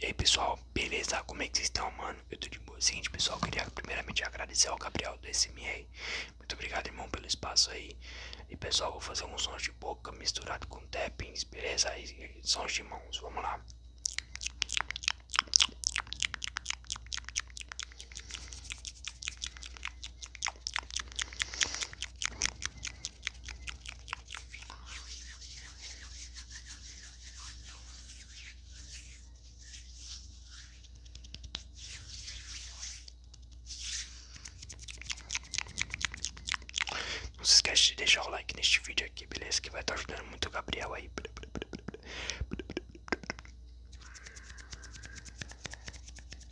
E aí pessoal, beleza? Como é que vocês estão, mano? Eu tô de boa. Seguinte, pessoal, queria primeiramente agradecer ao Gabriel do SMA. Muito obrigado, irmão, pelo espaço aí. E pessoal, vou fazer uns sons de boca misturado com tappings, beleza? E sons de mãos, vamos lá. Não se esquece de deixar o like neste vídeo aqui, beleza? Que vai estar ajudando muito o Gabriel aí.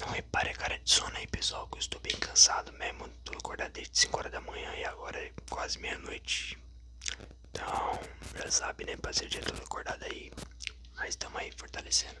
Não repare a cara de sono aí, pessoal, que eu estou bem cansado mesmo. Tô acordado desde 5 horas da manhã e agora é quase meia-noite. Então, já sabe, né, parceiro, já tô acordado aí. Mas estamos aí fortalecendo.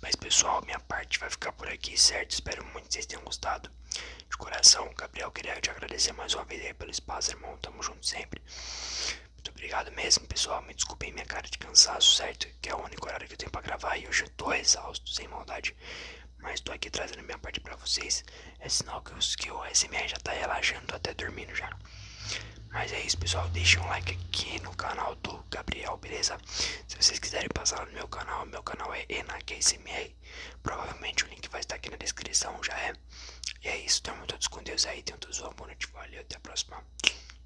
Mas pessoal, minha parte vai ficar por aqui, certo? Espero muito que vocês tenham gostado. De coração, Gabriel, queria te agradecer mais uma vez aí pelo espaço, irmão. Tamo junto sempre. Muito obrigado mesmo, pessoal. Me desculpem minha cara de cansaço, certo? Que é o único horário que eu tenho pra gravar e eu Poxa, tô exausto, sem maldade. Mas tô aqui trazendo minha parte para vocês. É sinal que, o SMR já tá relaxando, tô até dormindo já. Mas é isso, pessoal. Deixa um like aqui no canal do Gabriel, beleza? Se vocês quiserem passar no meu canal, meu canal é ENAQSMR. Provavelmente o link vai estar aqui na descrição, já é. E é isso, tamo todos com Deus aí. Tenho todos uma boa noite, valeu, até a próxima.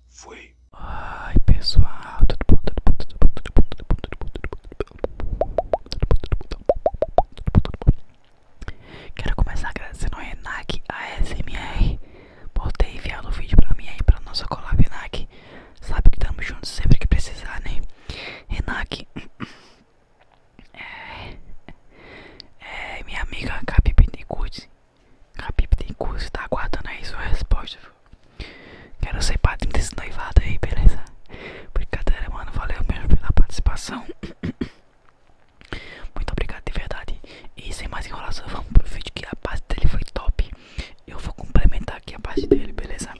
Fui. Ai, pessoal, tudo bom, tudo bom, tudo bom, tudo bom. Tudo bom. Quero começar agradecendo a Renac, a SMR, por ter enviado o vídeo pra mim aí, pra nossa collab Renac. Sabe que estamos juntos sempre que precisar, né? Renac. É, é, minha amiga Gabi Bittencourt. Gabi está aguardando aí sua resposta, viu? Quero ser padrinho desse noivado aí, beleza? Brincadeira, mano. Valeu mesmo pela participação. Muito obrigado de verdade. E sem mais enrolação, vamos pro vídeo que a parte dele foi top. Eu vou complementar aqui a parte dele, beleza?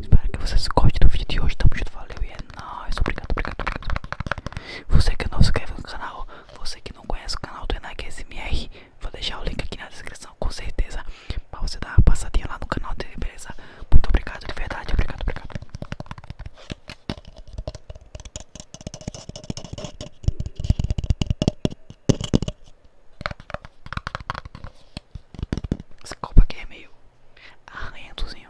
Espero que vocês gostem do vídeo de hoje. Tamo junto, valeu e é nóis. Obrigado, obrigado, obrigado. Você que é não se inscreve no canal. Você que não conhece o canal do Enak SMR, vou deixar o link aqui na descrição, com certeza pra você dar uma passadinha lá no canal dele, beleza? Muito obrigado, de verdade, obrigado, obrigado. Essa copa aqui é meio arranhentozinho.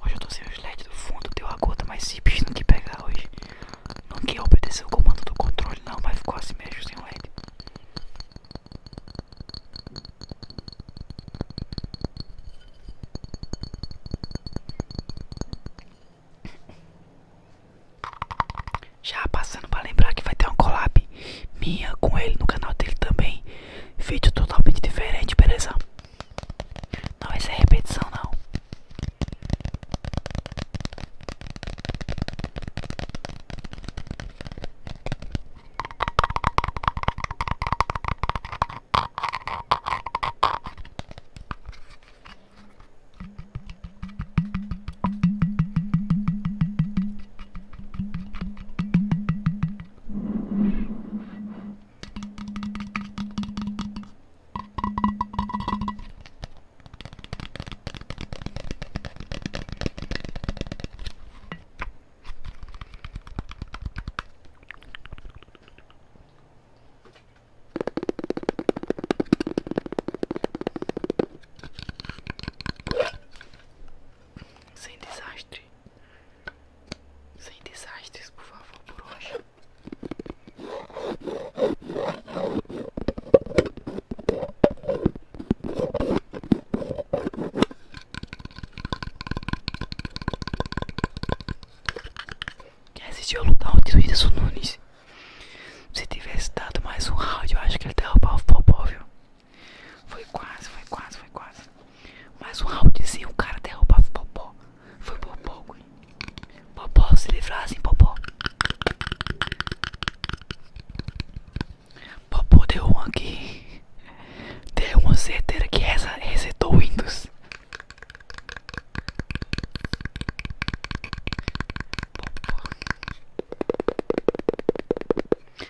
Hoje eu tô sem os LEDs do fundo, deu a gota, mas simples bicho não que pegar hoje. Não que obedecer o comando do controle não, mas ficou assim mesmo sem LED. Já passando para lembrar que vai ter um collab minha com ele no canal dele também. Vídeo totalmente diferente, beleza? Não vai ser é repetição não. Sem desastre. Sem desastres, por favor, por hoje. Quer assistir a lutar onde o Whindersson Nunes? Se tivesse dado mais um round, eu acho que ele derrubava o Popó, viu? Foi quase, foi quase, foi quase. mais um roundzinho, o cara derrubava o popó. Foi popó, Popó, se livrassem, popó. Popó deu um aqui. Deu uma certeira que essa resetou o Windows. Popó.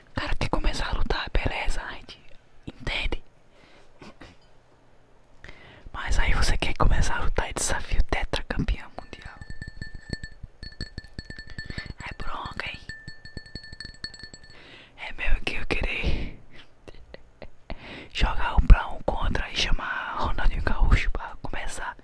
O cara quer começar a lutar, beleza, a gente entende. Mas aí você quer começar a lutar e desafio campeão mundial. É bronca, hein? É mesmo que eu querer jogar um pra um contra e chamar Ronaldinho Gaúcho pra começar.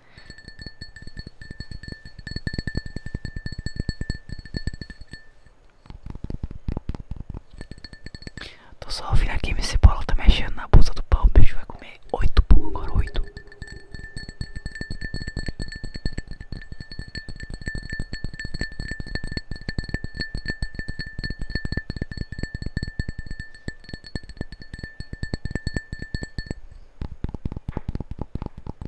Tô só vir aqui, minha cebola tá mexendo na bolsa do pão. O bicho vai comer oito pão agora, oito.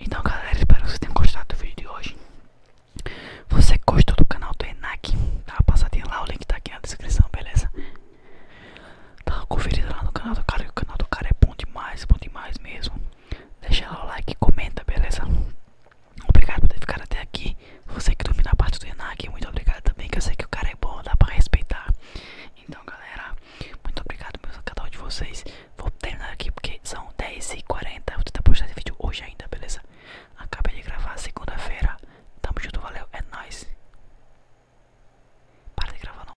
Então galera, espero que vocês tenham gostado do vídeo de hoje Você gostou do canal do Enac, dá uma passadinha lá, o link tá aqui na descrição, beleza? tá uma conferida lá no canal do cara, que o canal do cara é bom demais, bom demais mesmo. Deixa lá o like e comenta, beleza? Obrigado por ter ficado até aqui. Você que dormiu na parte do Enac, muito obrigado também, que eu sei que o cara é bom, dá pra respeitar. Então, galera, muito obrigado meu canal de vocês. Vou terminar aqui porque são 10h40. Vou tentar postar esse vídeo hoje ainda, beleza? Acabei de gravar segunda-feira. Tamo junto, valeu, é nóis. Para de gravar, não.